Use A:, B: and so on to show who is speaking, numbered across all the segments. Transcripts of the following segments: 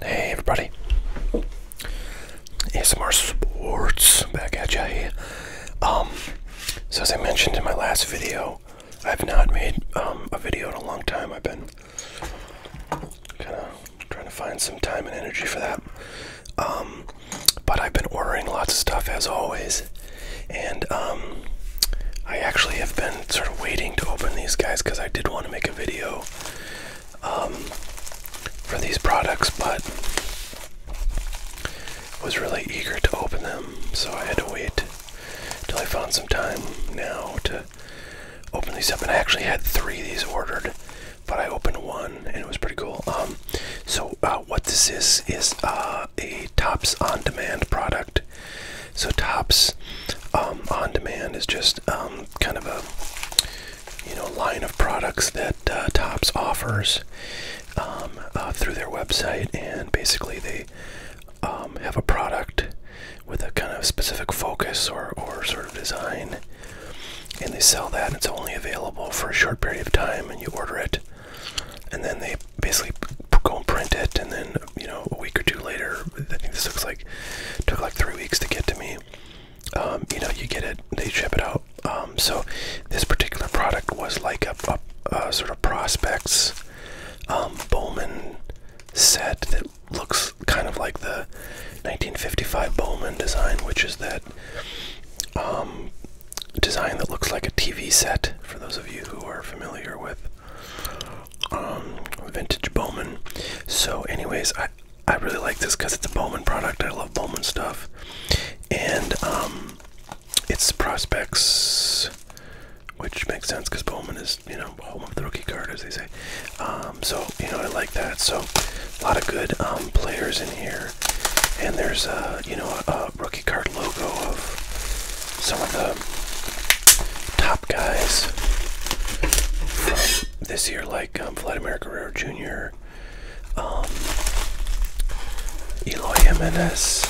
A: Hey everybody, ASMR Sports back at you um, so as I mentioned in my last video, I've not made um, a video in a long time. I've been kind of trying to find some time and energy for that. Um, but I've been ordering lots of stuff as always, and I actually have been sort of waiting to open these guys because I did want to make a video um, for these products, but was really eager to open them, so I had to wait until I found some time now to open these up. And I actually had three of these ordered, but I opened one, and it was pretty cool. Um, so uh, what this is is uh, a Tops on Demand product. So Tops um, on demand is just um, kind of a you know line of products that uh, Tops offers um, uh, through their website, and basically they have a product with a kind of specific focus or or sort of design, and they sell that. And it's only available for a short period of time, and you order it, and then they basically go and print it, and then you know a week or two later, I think this looks like took like three weeks to get to me. Um, you know, you get it, they ship it out. Um, so this particular product was like a, sort of prospects um, Bowman set that looks kind of like the 1955 Bowman design, which is that design that looks like a TV set. For those of you who are familiar with um, vintage Bowman. So, anyways, I I really like this because it's a Bowman product. I love Bowman stuff, and um, it's prospects, which makes sense because Bowman is you know home of the rookie card, as they say. Um, so you know I like that. So a lot of good um, players in here, and there's a you know a, rookie card logo of some of the top guys this year, like um, Vladimir Guerrero Jr., um, Eloy Jimenez,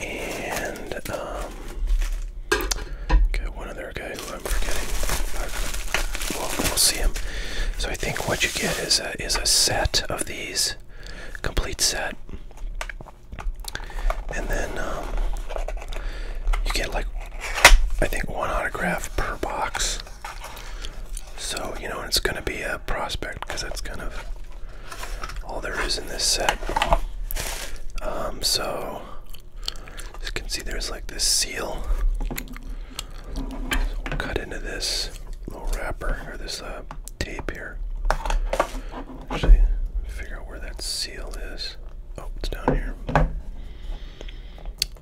A: and um, one other guy who I'm forgetting. we'll see him. So I think what you get is a, is a set of these, complete set, and then um, you get like, I think, one autograph per box. So, you know, it's going to be a prospect because that's kind of all there is in this set. Um, so, you can see, there's like this seal. cut into this little wrapper or this uh, tape here. Actually, figure out where that seal is. Oh, it's down here.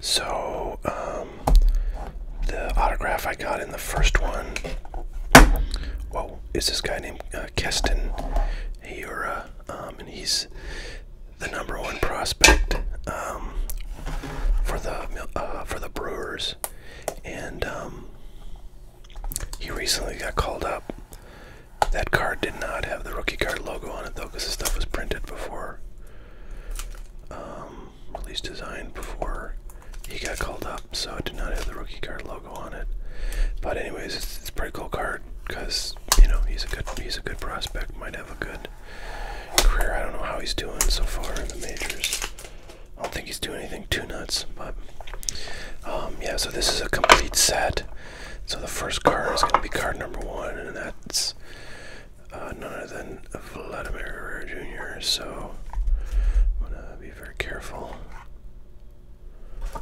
A: So, um, the autograph I got in the first one, whoa, is this guy named Kesten uh, Keston uh, um, and he's the number one prospect um, for the uh, for the Brewers, and he recently got called up that card did not have the rookie card logo on it though, because the stuff was printed before. Um, release design before he got called up, so it did not have the rookie card logo on it. But anyways, it's, it's a pretty cool card because you know he's a good he's a good prospect. Might have a good career. I don't know how he's doing so far in the majors. I don't think he's doing anything too nuts, but um, yeah. So this is a complete set. So the first card is going to be card number one, and that's uh, none other than Vladimir Guerrero Jr. So I'm going to be very careful.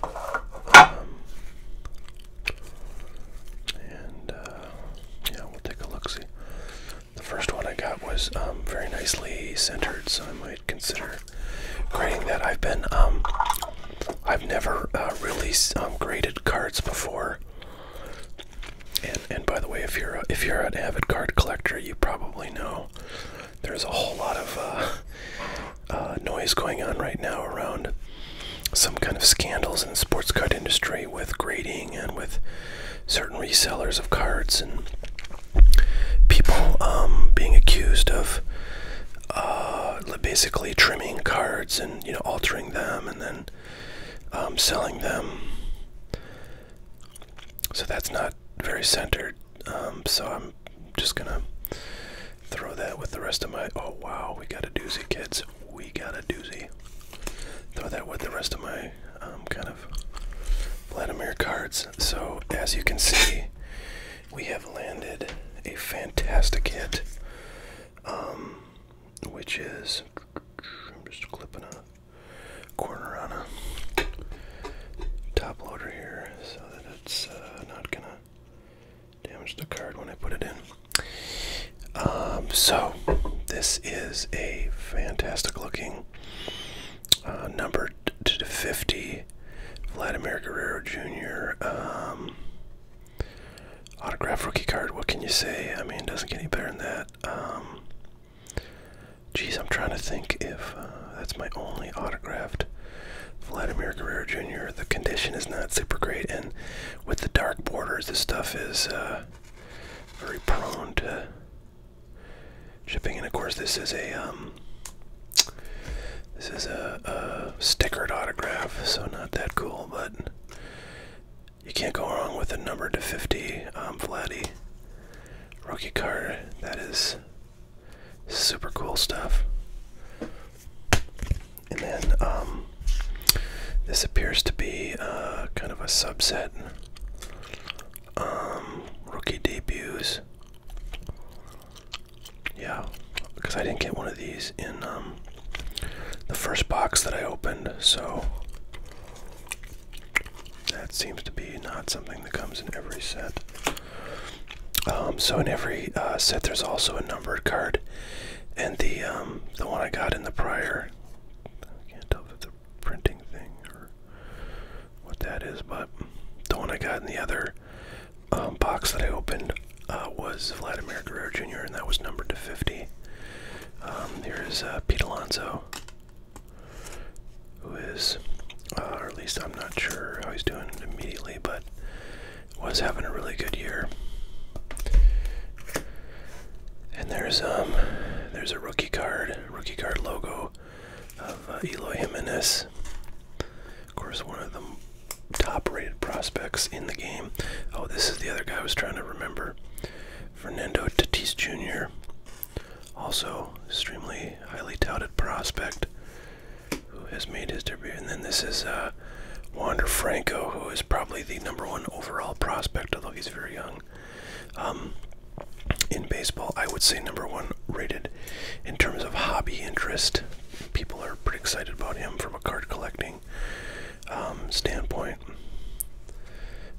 A: Um, and uh, yeah, we'll take a look. See, the first one I got was um, very nicely centered, so I might consider grading that. I've been um, I've never uh, really graded cards before. And and by the way, if you're if you're an avid card collector, you probably know there's a whole lot of uh, uh, noise going on right now around some kind of scandals in the sports card industry with grading and with certain resellers of cards and people um, being accused of uh, basically trimming cards and you know altering them and then and um, selling them. So that's not very centered. Um, so I'm just gonna throw that with the rest of my. Oh wow, we got a doozy, kids. We got a doozy. Throw that with the rest of my um, kind of Vladimir cards. So as you can see, we have landed a fantastic hit. Um, which is I'm just clipping a corner on a top loader here so that it's uh, not gonna damage the card when I put it in. Um, so this is a fantastic looking uh, number to 50 Vladimir Guerrero Jr. Autograph rookie card, what can you say? I mean, it doesn't get any better than that. Um, geez, I'm trying to think if uh, that's my only autographed Vladimir Guerrero Jr. The condition is not super great, and with the dark borders, this stuff is uh, very prone to chipping. And of course, this is a um, this is a stickered autograph, so not that cool, but you can't go wrong with a number to 50 um, Vladdy rookie card. That is super cool stuff. And then um, this appears to be uh, kind of a subset. Um, rookie debuts. Yeah, because I didn't get one of these in um, the first box that I opened, so that seems to be not something that comes in every set. Um, so in every uh, set, there's also a numbered card, and the um, the one I got in the prior, I can't tell if it's a printing thing or what that is, but the one I got in the other um, box that I opened uh, was Vladimir Guerrero Jr. and that was numbered to 50. Um, here is uh, Pete Alonso, who is, uh, or at least I'm not sure how he's doing immediately, but was having a really good year. And there's um, there's a rookie card, rookie card logo of uh, Eloy Jimenez. Of course, one of the top-rated prospects in the game. Oh, this is the other guy I was trying to remember. Fernando Tatis Jr., also extremely highly touted prospect who has made his debut. And then this is uh, Wander Franco, who is probably the number one overall prospect, although he's very young. Um, in baseball, I would say number one rated in terms of hobby interest. People are pretty excited about him from a card collecting um, standpoint.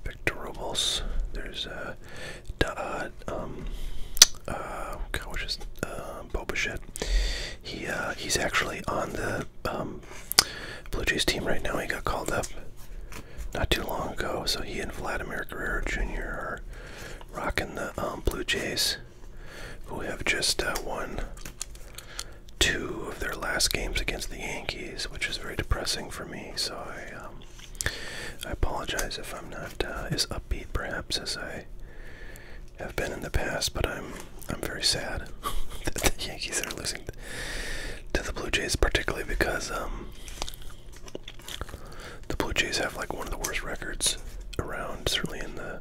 A: Victor Robles. There's uh, a. uh um, uh, God, which is uh, He uh, he's actually on the um, Blue Jays team right now. He got called up not too long ago, so he and Vladimir Guerrero Jr. are rocking the um, Blue Jays, We have just uh, won two of their last games against the Yankees, which is very depressing for me. So I, um, I apologize if I'm not uh, as upbeat, perhaps, as I have been in the past. But I'm, I'm very sad that the Yankees are losing to the Blue Jays, particularly because um, the Blue Jays have like one of the worst records around, certainly in the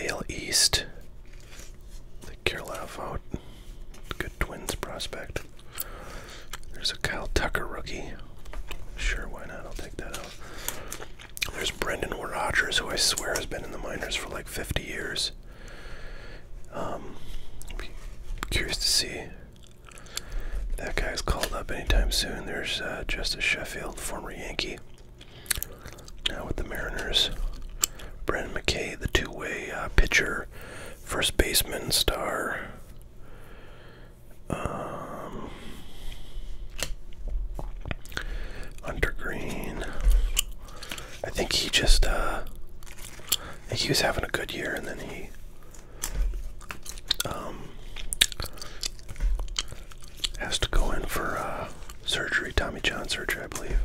A: AL East think Good Twins prospect. There's a Kyle Tucker rookie. Sure, why not? I'll take that out. There's Brendan Rodgers, who I swear has been in the minors for like 50 years. Um, curious to see that guy's called up anytime soon. There's uh, Justice Sheffield, former Yankee, now with the Mariners. Brendan McKay, the two-way uh, pitcher, first baseman star. Um, I think he just uh, I think he was having a good year, and then he um, has to go in for uh, surgery, Tommy John surgery, I believe.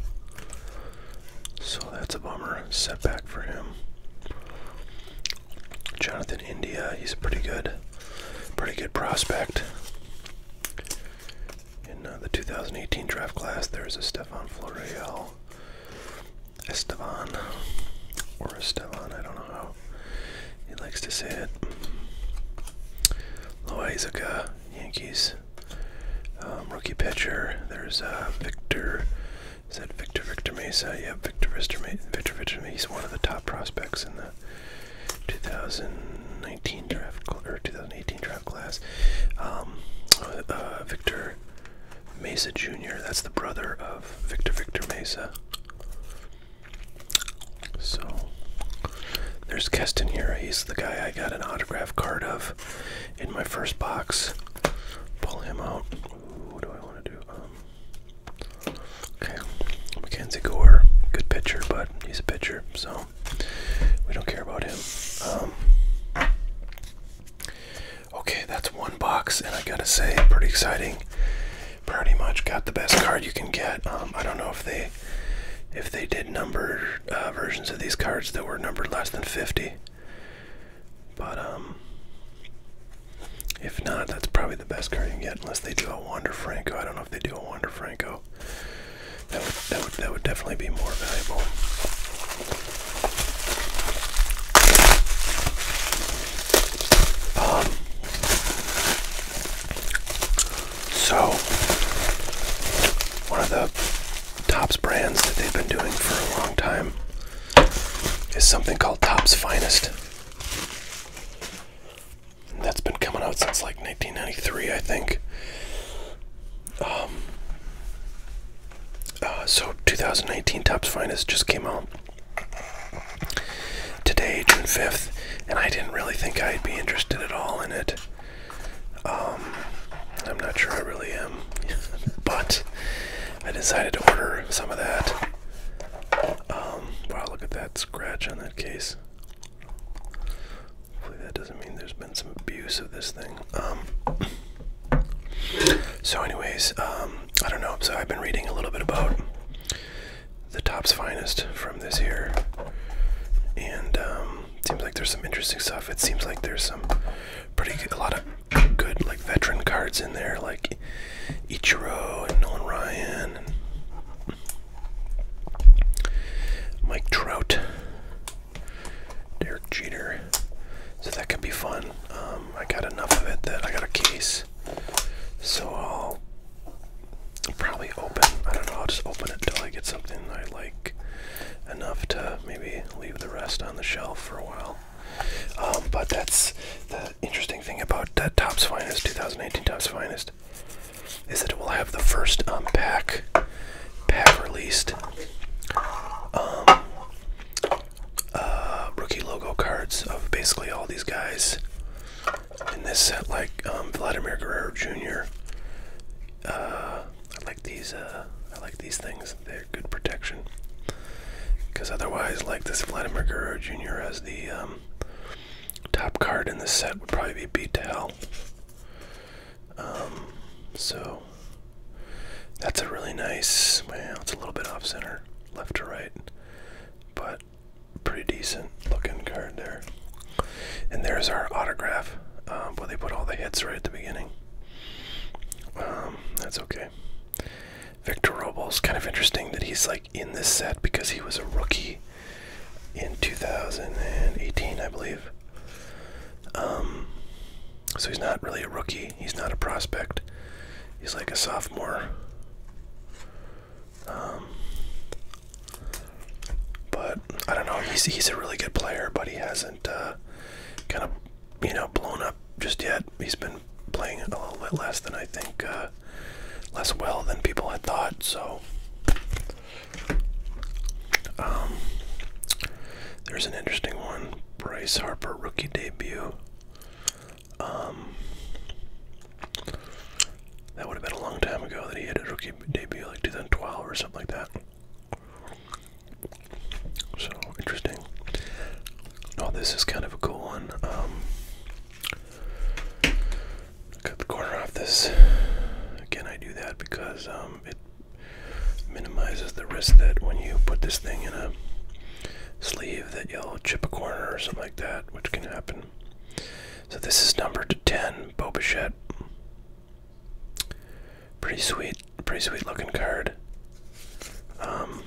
A: So that's a bummer. Setback for him. Jonathan India, he's a pretty good, pretty good prospect. In uh, the 2018 draft class, there's Esteban Floreal, Esteban, or Esteban, I don't know how he likes to say it. Loizaga, Yankees. Um, rookie pitcher. There's uh, Victor. Is that Victor Victor Mesa? Yeah, Victor Victor Mesa. Victor Victor Mesa. is one of the top prospects in the 2019 draft or 2018 draft class. Um, uh, uh, Victor Mesa Jr. That's the brother of Victor Victor Mesa. So there's Keston here. He's the guy I got an autograph card of in my first box. Pull him out. what do I want to do? Um, okay, Mackenzie Gore, good pitcher, but he's a pitcher, so we don't care about him. Um, okay, that's one box, and I gotta say, pretty exciting. Pretty much got the best card you can get. Um, I don't know if they if they did number uh, versions of these cards that were numbered less than 50 but um, if not, that's probably the best card you can get, unless they do a Wander Franco. I don't know if they do a Wander Franco. That would that would that would definitely be more valuable. Um, so one of the Tops brands that they've been doing for a long time is something called Tops Finest. that's been coming out since like 1993, I think. Um, uh, so 2019 Tops Finest just came out today, June 5th, and I didn't really think I'd be interested at all in it. Um, I'm not sure I really am, but I decided to order some of that. Um, wow, look at that scratch on that case. Hopefully, that doesn't mean there's been some abuse of this thing. Um, so, anyways, I don't know. So, I've been reading a little bit about the top's finest from this here, and seems like there's some interesting stuff. It seems like there's some pretty a lot of good like veteran cards in there, like Ichiro and Nolan Ryan and Mike Trout, Derek Jeter. So that could be fun. Um, I got enough of it that I got a case, so I'll probably open. I don't know. I'll just open it until I get something I like enough to maybe leave the rest on the shelf for a while. Um, but that's the interesting thing about that Topps Finest 2018 Topps Finest is that it will have the first um, pack released um, uh, rookie logo cards of basically all these guys in this set, like um, Vladimir Guerrero Jr. Uh, I like these. Uh, I like these things. Good protection. Because otherwise, like this Vladimir Guerrero Jr. as the um, top card in the set would probably be beat to hell. Um, so that's a really nice. Well, it's a little bit off center, left to right, but pretty decent looking card there. And there's our autograph um, where they put all the hits right at the beginning. Um, that's okay. Victor Robles, kind of interesting that he's like in this set because he was a rookie in 2018, I believe. Um, so he's not really a rookie. He's not a prospect. He's like a sophomore. Um, but I don't know. He's he's a really good player, but he hasn't uh, kind of you know, blown up just yet. He's been playing a little bit less than I think, uh, less well than people had thought. So, um, there's an interesting one. Bryce Harper rookie debut. Um, that would have been a long time ago that he had a rookie debut, like 2012 or something like that. So interesting. Oh, this is kind of a cool one. Um, cut the corner off this. Again, I do that because um, it minimizes the risk that when you put this thing in a sleeve that you'll chip a corner or something like that, which can happen. So this is number to 10, Boba Pretty sweet, pretty sweet looking card. Um,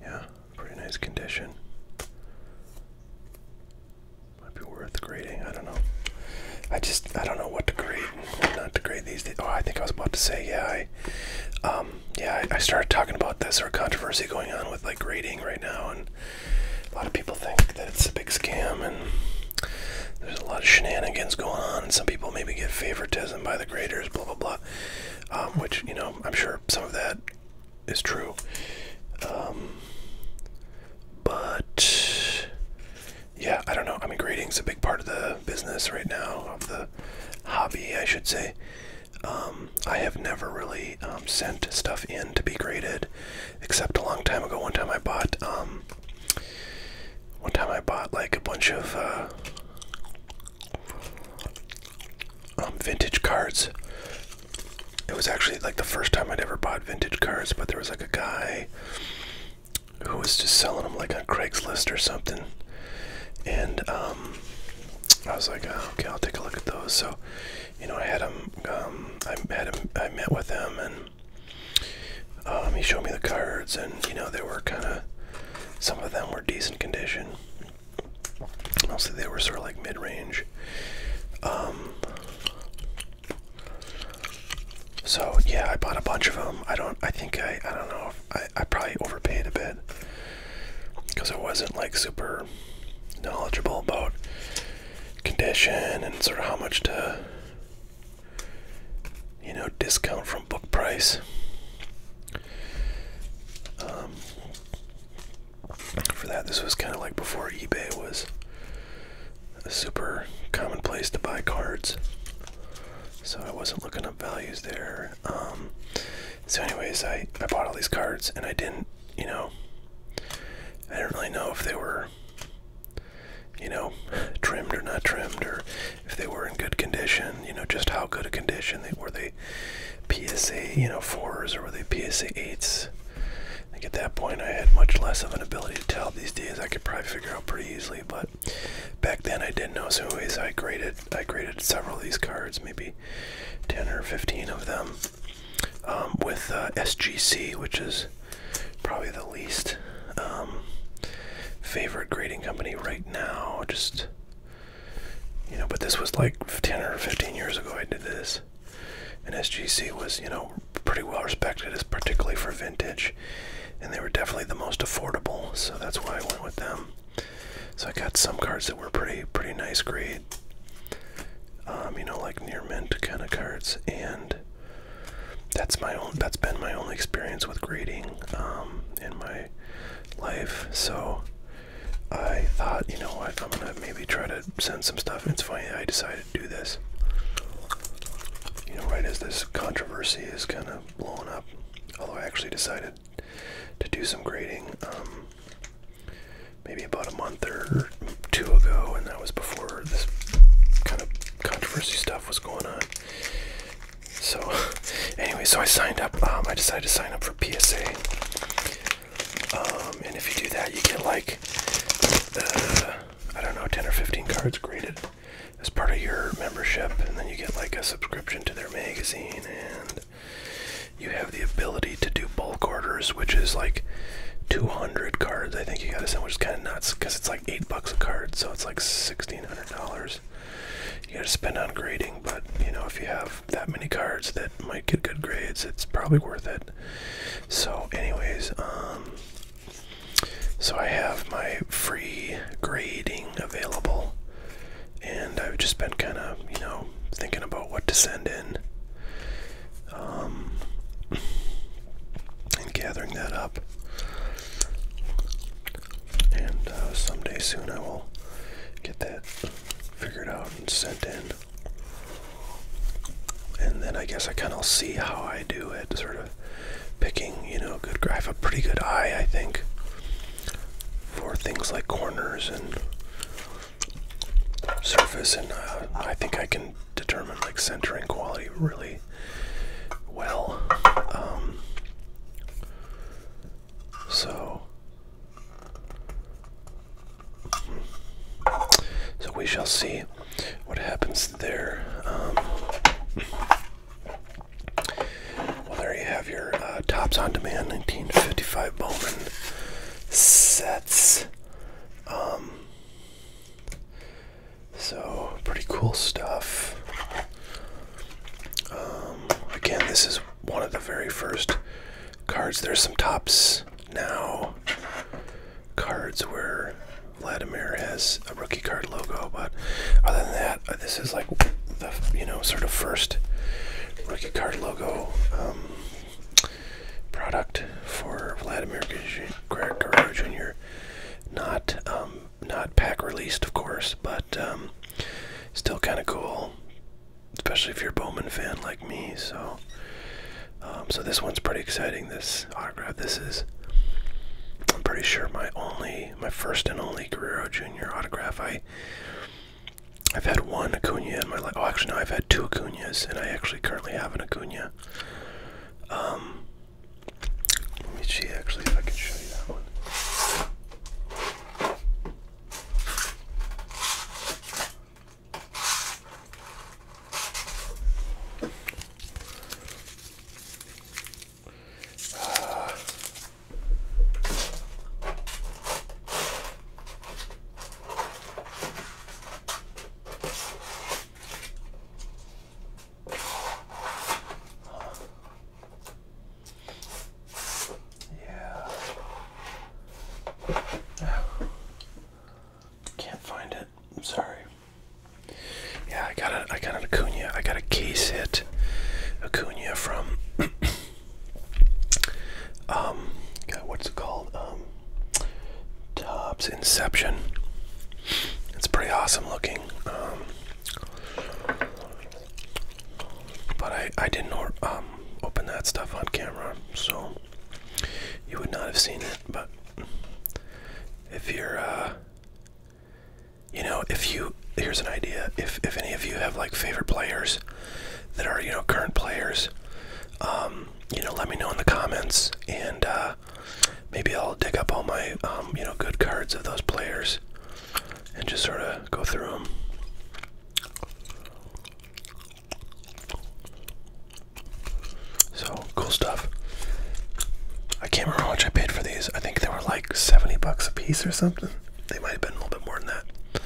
A: yeah, pretty nice condition. Might be worth grading. I don't know. I just I don't know what to grade, not to grade these Oh, I think I was about to say yeah. I, um, yeah, I, I started talking about this or controversy going on with like grading right now, and a lot of people think that it's a big scam and there's a lot of shenanigans going on, and some people maybe get favoritism by the graders, blah blah blah. Um, which you know, I'm sure some of that is true. Um, but yeah, I don't know. I mean, grading's a big part of the business right now, of the hobby, I should say. Um, I have never really sent stuff in to be graded, except a long time ago. One time I bought one time I bought like a bunch of uh, um, vintage cards. It was actually like the first time I'd ever bought vintage cards, but there was like a guy who was just selling them like on Craigslist or something. And um, I was like, oh, okay, I'll take a look at those. So, you know, I had him. Um, I, had them, I met with him and um, he showed me the cards, and you know they were kind of. Some of them were decent condition. Mostly they were sort of like mid-range. Um, so yeah, I bought a bunch of them. I don't. I think I. I don't know. If I I probably overpaid a bit because I wasn't like super knowledgeable about condition and sort of how much to you know, discount from book price. Um, for that, this was kind of like before eBay was super commonplace to buy cards. So I wasn't looking up values there. Um, so, anyways, I, I bought all these cards and I didn't, you know, I didn't really know if they were you know, trimmed or not trimmed, or if they were in good condition, you know, just how good a condition they were. They PSA, you know, fours or were they PSA eights? I think at that point I had much less of an ability to tell. These days I could probably figure out pretty easily, but back then I didn't know. So, anyways, I graded I graded several of these cards, maybe ten or fifteen of them, um, with uh, SGC, which is probably the least um, favorite grading company right now. Just you know, but this was like 10 or 15 years ago I did this. And SGC was, you know, pretty well respected, as particularly for vintage. And they were definitely the most affordable, so that's why I went with them. So I got some cards that were pretty, pretty nice grade. Um, you know, like near mint kind of cards, and that's my own. That's been my only experience with grading um, in my life. So I thought, you know what, I'm gonna maybe try to send some stuff. It's funny I decided to do this. You know, right as this controversy is kind of blowing up. Although I actually decided to do some grading um, maybe about a month or two ago, and that was before this kind of controversy stuff was going on. So, anyway, so I signed up. Um, I decided to sign up for PSA. Um, and if you do that, you get like, uh, I don't know, 10 or 15 cards graded as part of your membership. And then you get like a subscription to their magazine. And you have the ability to do bulk orders, which is like 200 cards, I think you gotta send, which is kind of nuts because it's like eight bucks a card, so it's like sixteen hundred dollars. You gotta spend on grading, but you know, if you have that many cards that might get good grades, it's probably worth it. So, anyways, um so I have my free grading available and I've just been kinda, you know, thinking about what to send in. Um and gathering that up. And uh, someday soon I will get that figured out and sent in. And then I guess I kind of see how I do at sort of picking, you know, good. I have a pretty good eye, I think, for things like corners and surface, and uh, I think I can determine like centering quality really well, um, so, so we shall see what happens there. Um, well, there you have your uh, Tops on Demand 1955 Bowman sets. Um, so, pretty cool stuff. Um, again, this is one of the very first cards. There's some tops now cards where Vladimir has a rookie card logo, but other than that, uh, this is like the you know sort of first rookie card logo um, product for Vladimir you're Not um, not pack released, of course, but um, still kind of cool, especially if you're a Bowman fan like me. So, um, so this one's pretty exciting. This autograph. This is, I'm pretty sure my only, my first and only Guerrero Jr. autograph. I, I've had one Acuna in my life. Oh, actually, no, I've had two Acunas, and I actually currently have an Acuna. Um, let me see actually if I can show you that one. Uh, Huh. Yeah. Can't find it. I'm sorry. Yeah, I got a I got an Acuna. I got a case hit Acuna from um God, what's it called? Um Tops Inception. It's pretty awesome looking. Um but I, I didn't um, open that stuff on camera, so you would not have seen it. But if you're, uh, you know, if you, here's an idea. If, if any of you have like favorite players that are, you know, current players, um, you know, let me know in the comments and, uh, maybe I'll dig up all my um, you know good cards of those players and just sort of go through them. So cool stuff. I can't remember how much I paid for these. I think they were like 70 bucks a piece or something. They might have been a little bit more than that.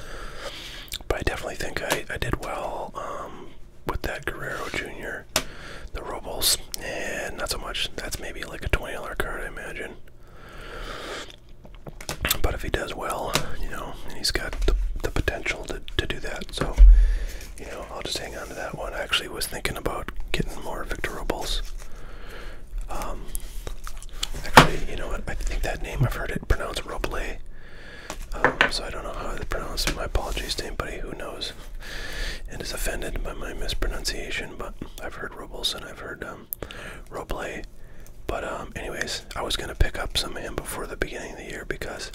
A: But I definitely think I, I did well um, with that Guerrero Jr. The rubles, and eh, not so much. That's maybe like a $20 card, I imagine. But if he does well, you know, and he's got the, the potential to, to do that, so, you know, I'll just hang on to that one. actually was thinking about getting more Victor Rubles. Um, actually, you know what? I think that name I've heard it pronounced Roble. Um, so I don't know how to pronounce it. My apologies to anybody who knows and is offended by my mispronunciation, but I've heard Rubles and I've heard um, Roble. But, um, anyways, I was going to pick up some of him before the beginning of the year because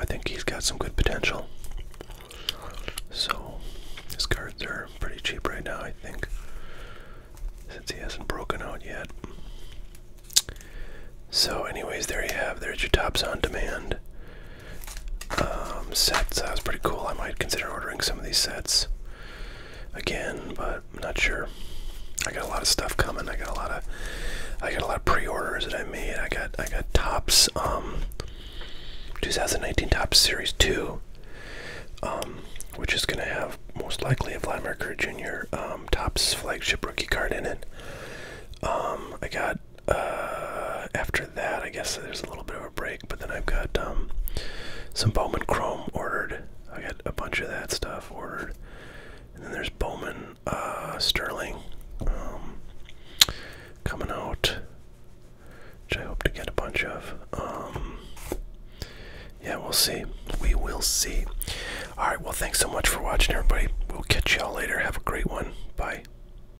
A: I think he's got some good potential. So, his cards are pretty cheap right now, I think, since he hasn't broken out yet. So, anyways, there you have. There's your tops on demand um, sets. That was pretty cool. I might consider ordering some of these sets again, but I'm not sure. I got a lot of stuff coming. I got a lot of I got a lot of pre-orders that I made. I got I got tops um, 2019 tops series 2 um, which is going to have most likely a Vladimir Kerr Jr. Um, tops flagship rookie card in it. I got uh, after that, I guess there's a little bit of a break, but then I've got um, some Bowman Chrome ordered. I got a bunch of that stuff ordered. And then there's Bowman uh, Sterling um, coming out, which I hope to get a bunch of. Um, yeah, we'll see. We will see. All right, well, thanks so much for watching, everybody. We'll catch y'all later. Have a great one. Bye.